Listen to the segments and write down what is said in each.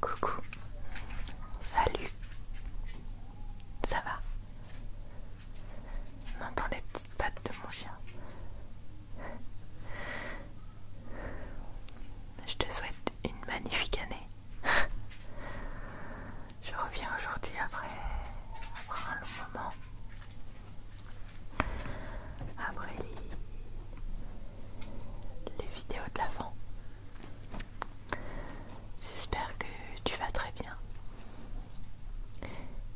Coucou, salut, ça va On entend les petites pattes de mon chien. Je te souhaite une magnifique année. Je reviens aujourd'hui après, un long moment après les, vidéos de l'avant. J'espère que tu vas très bien.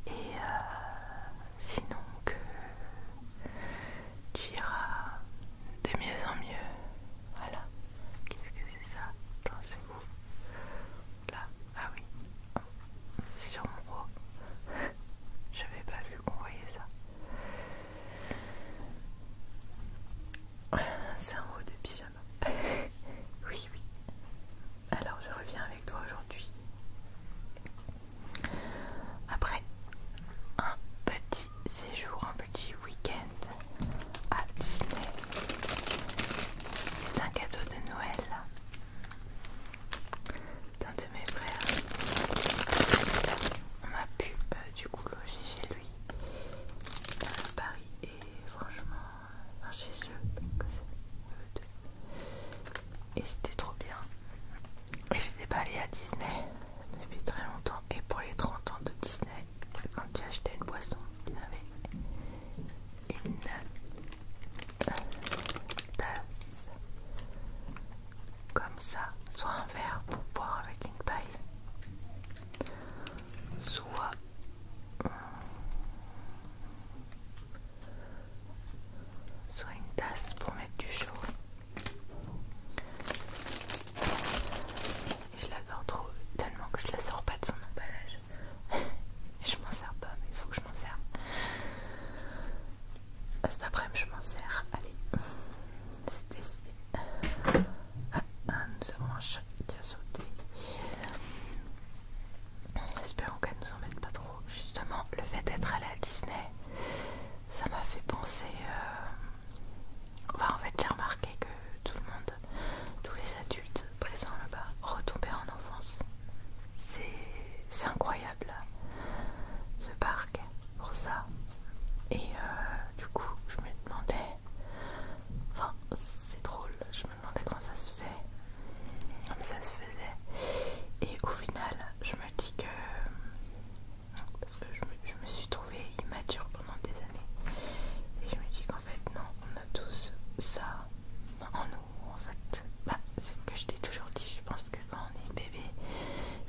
Et euh, sinon que tu iras de mieux en mieux. Voilà. Qu'est-ce que c'est ça Attends, c'est vous. Là, ah oui, sur mon haut. J'avais pas vu qu'on voyait ça. C'est un haut de pyjama. oui, oui. Alors, je reviens avec toi aujourd'hui. Après un petit séjour, un petit week-end à Disney. C'est un cadeau de Noël d'un de mes frères. On a pu euh, du coup loger chez lui à Paris et franchement, euh, chez eux, Et c'était trop bien. Et je n'ai pas allé à Disney depuis très longtemps. Et pour les 30 ans de Disney, quand j'ai acheté une boisson, il avait une tasse comme ça, soit un verre pour boire avec une paille, soit soit une tasse pour mettre du chaud. Et je l'adore trop, tellement que je la sors pas de son emballage je m'en sers pas, mais il faut que je m'en sers. Ah, cet après-midi, je m'en sers. Allez, c'est décidé. Ah, ah, nous avons un chat qui a sauté. Espérons qu'elle nous embête pas trop. Justement, le fait d'être allée à Disney, ça m'a fait penser. Euh, enfin, en fait, j'ai remarqué que tout le monde, tous les adultes présents là-bas, retombaient en enfance. C'est incroyable ce parc pour ça. Et euh, du coup, je me demandais, enfin, c'est drôle, je me demandais comment ça se fait, comment ça se faisait. Et au final, je me dis que parce que je me, je me suis trouvée immature pendant des années, et je me dis qu'en fait, non, on a tous ça en nous en fait. Bah, c'est ce que je t'ai toujours dit, je pense que quand on est bébé,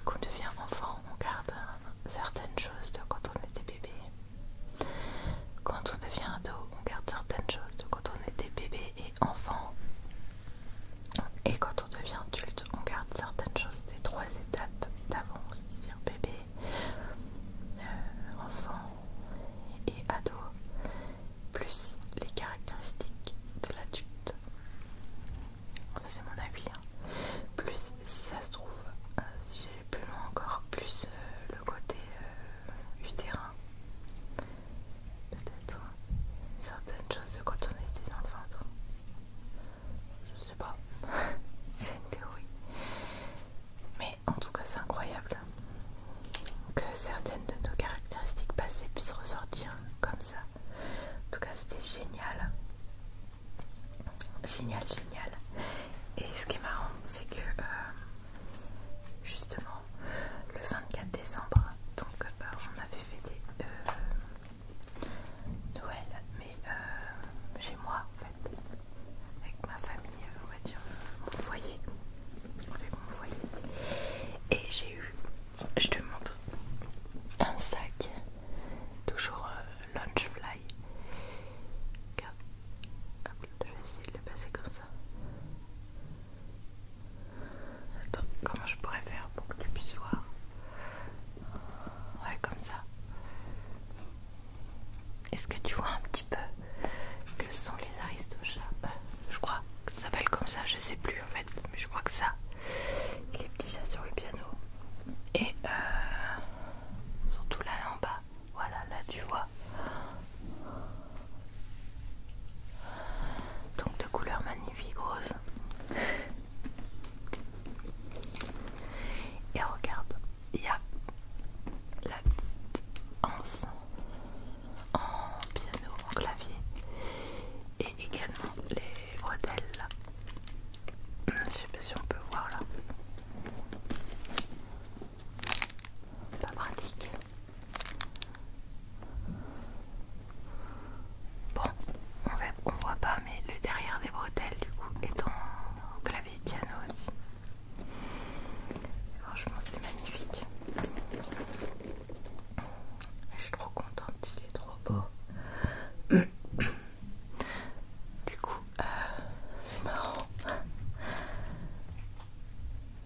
qu'on devient enfant, on garde euh, certaines choses de quand on était bébé. Quand on devient ado, on garde certaines choses de quand on était bébé et enfant. Et quand on devient adulte, on garde certaines choses des trois étapes d'avant, c'est-à-dire bébé, euh, enfant et ado plus les caractéristiques de l'adulte. C'est mon avis. Hein. Plus, si ça se trouve, euh, si j'ai plus loin encore, plus euh, le côté euh, utérin. Peut-être hein. certaines choses de quand on était dans Je sais pas. c'est une théorie. Mais en tout cas, c'est incroyable que certaines de nos caractéristiques passées puissent ressortir comme ça. En tout cas, c'était génial. Génial, génial. Et ce qui est marrant, c'est que euh, justement, le 24 décembre, donc euh, on avait fêté des euh, Noël, mais chez moi en fait, avec ma famille, on va dire, mon foyer. Et j'ai eu, je te montre, un sac, toujours euh, launch fly je vais essayer de le passer comme ça. comment je pourrais faire pour que tu puisses voir Ouais, comme ça. Est-ce que tu vois un petit peu que sont les aristochats. Bah, je crois que ça s'appelle comme ça, je sais plus en fait, mais je crois que ça. Les petits chats sur le piano. Et euh, surtout là, en bas. Voilà, là tu vois. Donc de couleur magnifique rose. Et regarde, il y a la petite anse en, piano, en clavier et également les bretelles là. Je sais pas si on peut voir là. Pas pratique. Bon, on, ne on voit pas, mais le derrière des bretelles du coup est en clavier piano aussi. Franchement, c'est magnifique. Je suis trop contente, il est trop beau. Du coup, euh, c'est marrant.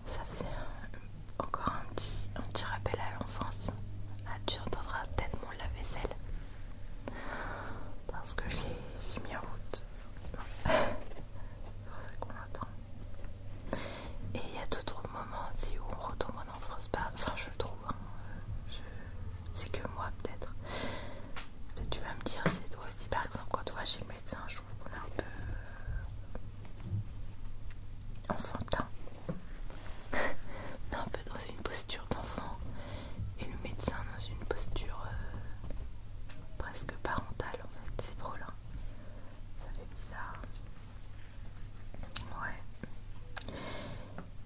Ça faisait encore un petit, rappel à l'enfance. Ah, tu entendras tellement la lave-vaisselle. Parce que je l'ai mis en route, forcément. c'est pour ça qu'on attend. Et il y a d'autres moments aussi où on retombe en enfance. pas. Bah, enfin, je le trouve. Hein. C'est que moi, peut-être. Peut-être tu vas me dire, c'est toi aussi. Par exemple, quand tu vas chez le médecin, je trouve qu'on est un peu euh, enfantin. on est un peu dans une posture d'enfant. Et le médecin dans une posture euh, presque parentale en fait, c'est drôle, hein ça fait bizarre. Ouais.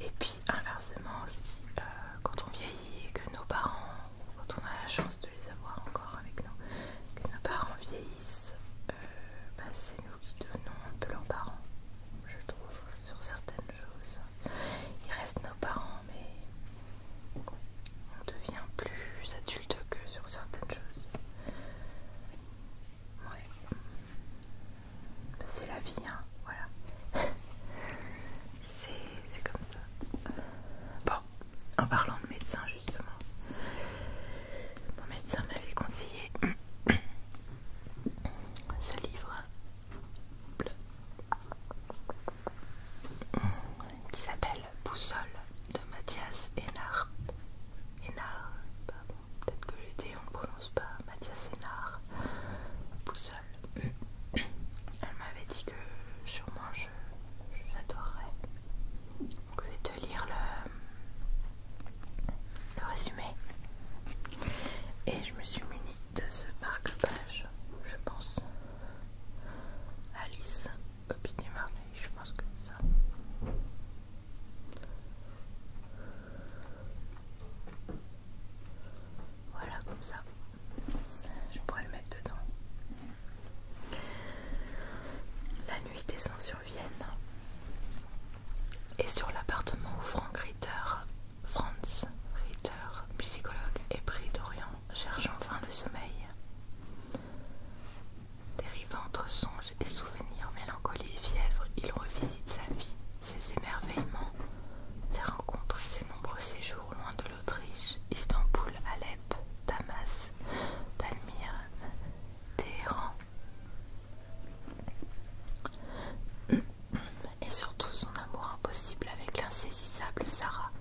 Et puis inversement aussi, euh, quand on vieillit et que nos parents, quand on a la chance de les avoir encore avec nous, que nos parents vieillissent, euh, bah, c'est nous qui devenons un peu leurs parents, je trouve, sur certaines choses. Ils restent nos parents, mais on devient plus adulte que sur certaines choses. Ouais. c'est la vie, hein, voilà. c'est comme ça. Bon, en parlant de médecin, justement, mon médecin m'avait conseillé ce livre bleu qui s'appelle Boussole de Mathias Hénard. Hénard, peut-être que l'été on ne prononce pas Mathias Hénard. Boussole. Elle m'avait dit que sûrement j'adorerais. Donc je vais te lire le, le résumé. Et je me suis munie de ce marque-page, je pense. Alice Opinion je pense que c'est ça. Voilà, comme ça. Je pourrais le mettre dedans. La nuit descend sur Vienne et sur l'appartement où Frank Ritter, Franz Ritter, psychologue épris d'Orient, cherche enfin le sommeil. Dérivant entre songes et souvenirs, mélancolie et fièvre, il revisite sa vie, ses émerveillements, ses rencontres ses nombreux séjours loin de l'Autriche, Istanbul, Alep, Damas, Palmyre, Téhéran. Et surtout son amour impossible avec l'insaisissable Sarah,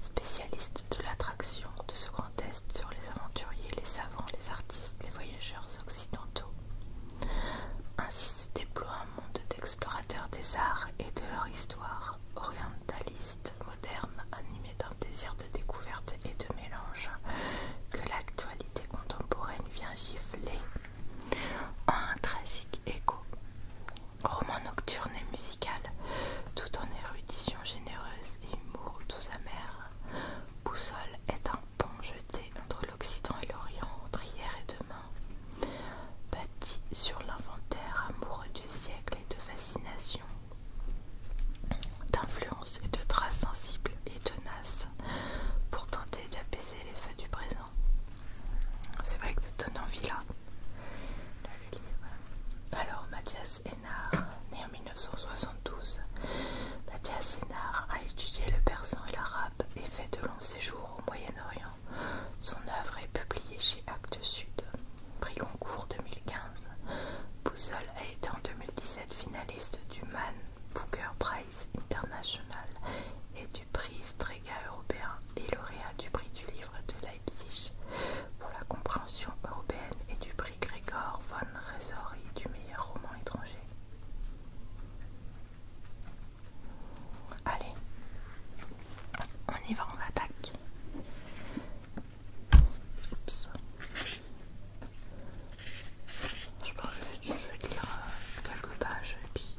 spécialiste de l'attraction de ce grand sur les aventuriers, les savants, les artistes, les voyageurs occidentaux. Ainsi se déploie un monde d'explorateurs des arts et de leur histoire, orientaliste, moderne, animés d'un désir de découverte et de mélange que l'actualité contemporaine vient gifler en un tragique écho. Roman nocturne et musical, tout en érudition généreuse et humour doux amère Boussole est un pont jeté entre l'Occident et l'Orient entre hier et demain, bâti sur l'inventaire amoureux du siècle et de fascination, d'influence et de traces sensibles et tenaces pour tenter d'apaiser les feux du présent. C'est vrai que ça donne envie là. Alors Mathias Mathias né en 1972. Mathias Ennard a étudié le persan et l'arabe et fait de longs séjours au Moyen-Orient. Son œuvre est publiée chez Actes Sud, prix concours 2015. Boussole a été en 2017 finaliste du Man Booker Prize International et du prix Strega européen et lauréat du prix du livre de Leipzig pour la compréhension européenne et du prix Grégor trésorerie du meilleur roman étranger. Allez, on y va, on attaque. Je pense que je vais, lire euh, quelques pages et puis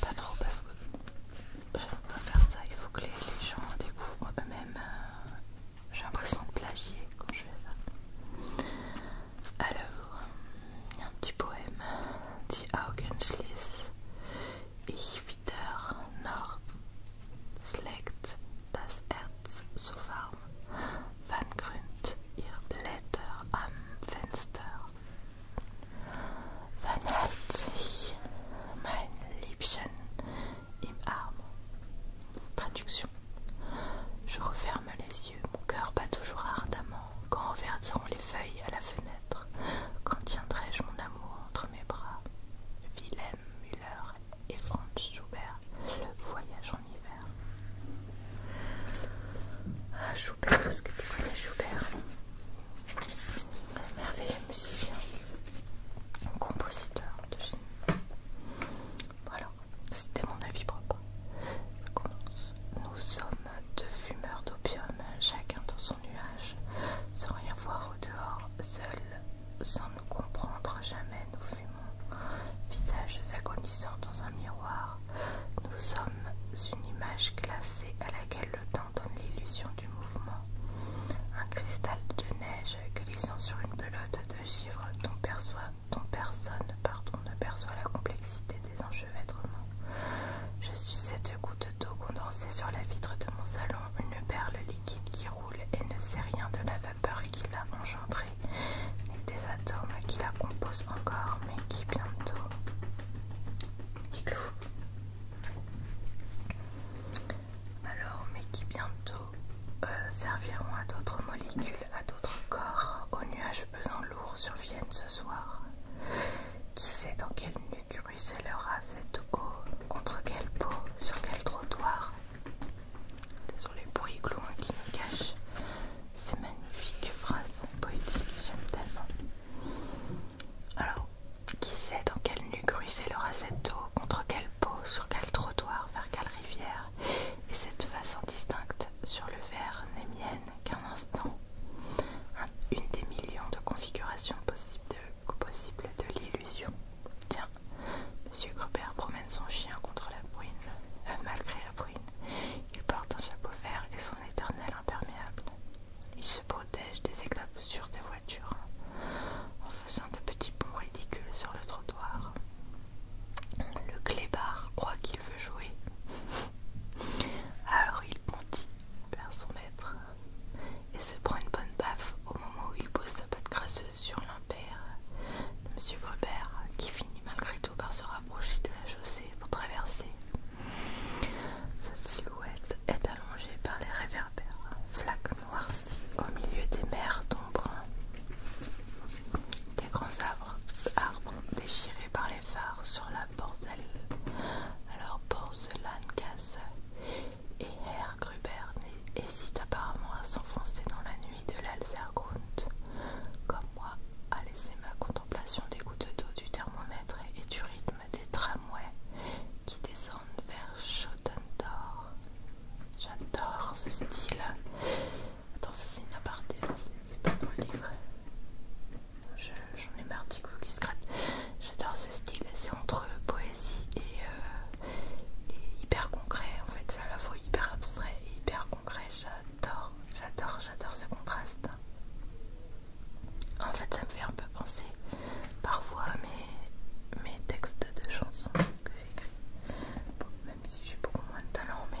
pas trop parce que j'aime pas faire ça. Il faut que les gens découvrent eux-mêmes euh, J'ai l'impression de plagier quand je fais ça. Alors, un petit poème. Die Augen schließ. Ich wieder noch schlägt das Herz so warm. Wann grünt ihr Blätter am Fenster? Wann hat sich mein Liebchen et Traduction. Je referme les yeux, mon cœur bat toujours ardemment. Quand verdiront les feuilles à la fenêtre, quand tiendrai-je mon amour entre mes bras Wilhelm Müller et Franz Schubert, le voyage en hiver. Ah, Schubert, est-ce que tu connais Schubert Merveilleux musicien, compositeur de génie. Voilà, c'était mon avis propre. commence. Nous sommes deux fumeurs d'opium, chacun dans son nuage, sans rien voir au dehors, seuls, sans nous comprendre jamais, nous fumons, visages agonisants dans un miroir. Nous sommes une image glacée à laquelle le temps donne l'illusion du mouvement. Un cristal de neige glissant sur une pelote de chiffre dont, personne pardon, ne perçoit la complexité des enchevêtrements. Je suis cette goutte d'eau condensée sur la vitre de mon salon, une perle liquide qui roule et ne sait rien de la vapeur qui l'a engendrée, ni des atomes qui la composent encore, mais qui bientôt alors mais qui bientôt euh, serviront à d'autres molécules, à d'autres corps, aux nuages pesant lourds surviennent ce soir. Qui sait dans quelle nuque ruissellera cette eau, contre quelle peau, sur quel trottoir sur les bruits glouins qui nous cachent ces magnifiques phrases poétiques, j'aime tellement. Alors, qui sait dans quelle nuque ruissellera cette eau, contre quelle sur quel trottoir, vers quelle rivière, et cette façon distincte sur le verre n'est mienne qu'un instant. une des millions de configurations possibles de, l'illusion. Tiens, Monsieur Gruber promène son chien contre la bruine, euh, malgré la bruine. Il porte un chapeau vert et son éternel imperméable. Il se protège des éclaboussures des voitures. Un de petits ponts ridicules sur le trottoir. Le clébard croit qu'il veut jouer. Alors il bondit vers son maître et se prend une bonne baffe au moment où il pose sa patte grasseuse sur l'impair de M. Gruber, qui finit malgré tout par se rapprocher de la chaussée pour traverser. Sa silhouette est allongée par les réverbères, noirci au milieu des mers d'ombre. Des grands arbres, déchirés par les phares sur la porcelaine, alors porcelaine casse et Herr Gruber hésite apparemment à s'enfoncer dans la nuit de l'Alzergrund, comme moi, à laisser ma contemplation des gouttes d'eau du thermomètre et du rythme des tramways qui descendent vers Schottendorf. J'adore ce style. Attends, ça c'est une aparté, hein. c'est pas mon livre. J'en ai marre du coup qui se gratte. J'adore ce style, c'est entre poésie euh, et, hyper concret. En fait, c'est à la fois hyper abstrait et hyper concret. J'adore, j'adore, j'adore ce contraste. En fait, ça me fait un peu penser parfois à mes, textes de chansons que j'ai écrits même si j'ai beaucoup moins de talent, mais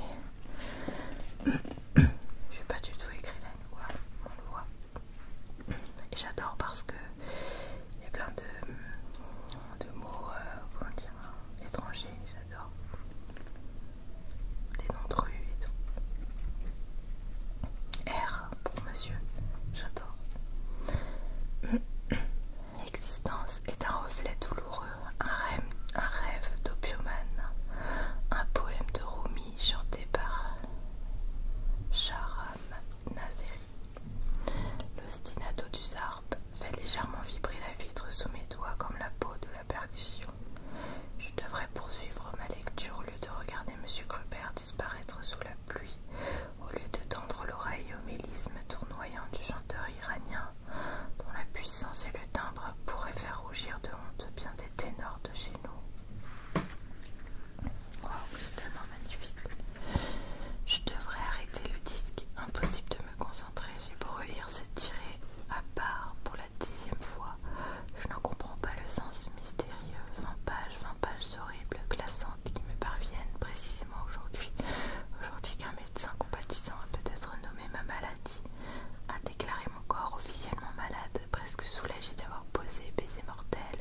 je suis pas du tout écrivaine, quoi. on le voit. Et j'adore parce que il y a plein de, mots, euh, comment dire, étrangers, j'adore. Des noms de rue et tout. R pour monsieur, j'adore. L'existence est un reflet douloureux, un rêve, d'opium un poème de Rumi chanté par Sharam Nazeri. L'ostinato du zarp fait légèrement vibrer la vitre sous mes doigts comme la peau de la percussion. Je devrais poursuivre ma lecture au lieu de regarder M. Gruber disparaître sous la pluie, au lieu de tendre l'oreille au mélisme tournoyant du chanteur iranien dont la puissance et le timbre pourraient faire rougir de honte bien des ténors de chez nous. Wow, c'est tellement magnifique. Je devrais arrêter le disque, impossible de me concentrer. J'ai beau relire ce tiré à part pour la dixième fois. Je n'en comprends pas le sens mystérieux. 20 pages, 20 pages horribles, glaçantes qui me parviennent précisément aujourd'hui. Aujourd'hui médecin compatissant a peut-être nommé ma maladie, a déclaré mon corps officiellement malade, presque soulagé d'avoir posé baiser mortel.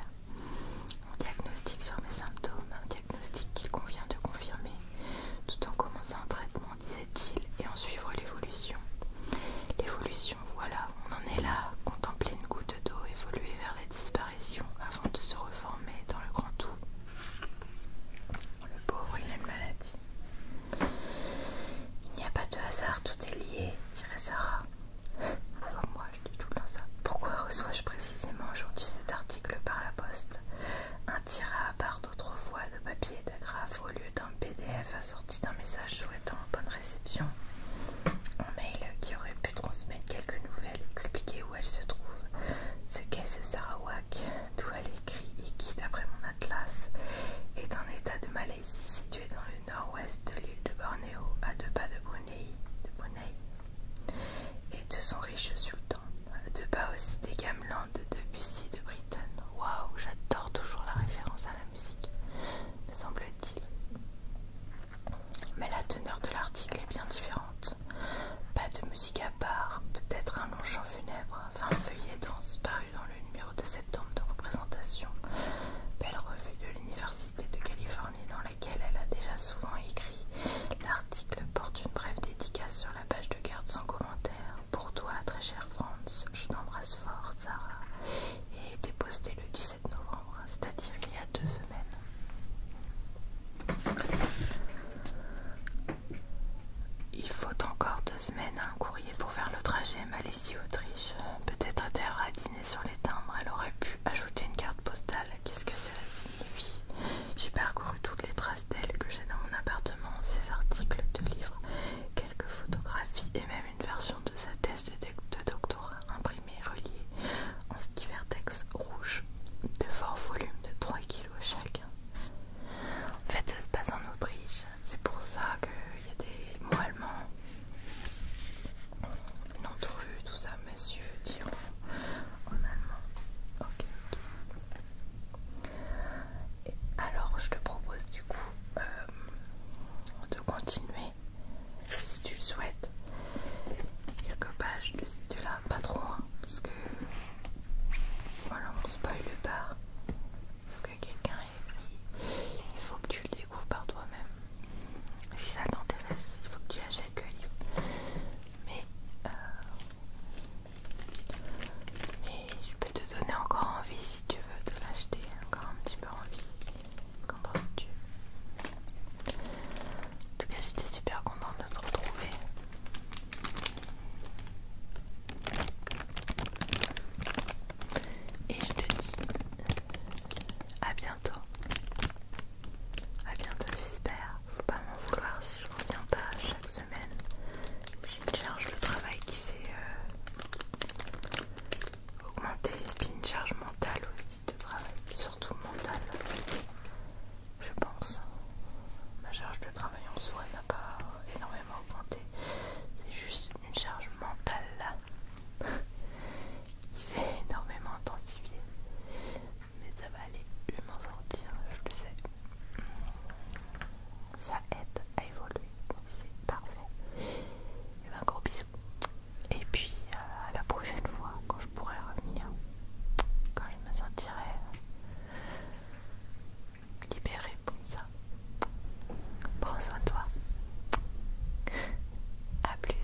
Un diagnostic sur mes symptômes, un diagnostic qu'il convient de confirmer, tout en commençant un traitement, disait-il, et en suivre l'évolution. L'évolution, voilà, on en est là, contempler une goutte d'eau évoluer vers la disparition avant de se reformer dans le grand tout. Le pauvre, il a une maladie. Il n'y a pas de hasard, tout est lié, dirait Sarah. Comme moi, je dis tout le ça. Pourquoi reçois-je précisément aujourd'hui cet article par la poste Un tirat à part fois de papier et d'agrafe au lieu d'un PDF assorti d'un message souhaitant bonne réception. Un mail qui aurait pu transmettre quelques nouvelles, expliquer où elle se trouve, ce qu'est ce Sarawak, d'où elle écrit et qui, d'après mon atlas, est en état de Malaisie situé dans le nord-ouest de l'île de Bornéo, à deux pas de Brunei, de et de son riche sultan, à deux pas aussi des gamelans de Bussy de Britain. Waouh, j'adore toujours la référence à la musique, me semble-t-il. Mais la teneur de l'article est bien différente. Pas de musique à part, peut-être un long chant funèbre, 20 feuillet danse paru dans le numéro de septembre de représentation, belle revue de l'Université de Californie dans laquelle elle a déjà souvent écrit. L'article porte une brève dédicace sur la page de garde sans commentaire. Pour toi, très chère Franz, je t'embrasse fort, Sarah, et déposé posté le 17 novembre, c'est-à-dire il y a deux semaines. Il faut encore deux semaines à un courrier pour faire le trajet Malaisie-Autriche. Peut-être a-t-elle radiné sur les timbres. Elle aurait pu ajouter une carte postale. Qu'est-ce que cela signifie J'ai parcouru toutes les traces d'elle que j'ai dans mon appartement, ses articles de livres, quelques photographies et même une version de sa thèse de, doctorat imprimée reliée en skivertex rouge de fort volume de 3 kg chacun. En fait, ça se passe en Autriche. C'est pour ça qu'il y a des mots allemands. L'entrue, tout ça, monsieur, disons, en allemand. Ok, alors, je te propose du coup euh, de continuer si tu le souhaites. Quelques pages de site de là, pas trop, hein, parce que voilà, on spoil le bar. Parce que quelqu'un est écrit, il faut que tu le découvres par toi-même. Si ça t'intéresse, il faut que tu achètes le livre. Mais, euh, mais je peux te donner encore envie si tu veux de l'acheter, encore un petit peu envie. Qu'en penses-tu En tout cas, j'étais super contente de te retrouver. Et je te dis à bientôt. A bientôt, j'espère. Faut pas m'en vouloir si je reviens pas chaque semaine. J'ai une charge le travail qui s'est augmenté. Euh, augmentée et puis une charge mentale aussi de travail, surtout mentale je pense. Ma charge de travail en soi n'a pas énormément augmenté. C'est juste une charge mentale qui s'est énormément intensifiée. Mais ça va aller, je m'en sortir, je le sais. Ça aide à évoluer, c'est parfait. Et eh un ben, gros bisou Et puis euh, à la prochaine fois quand je pourrai revenir, quand je me sentirai libéré pour ça. Prends soin de toi. A plus.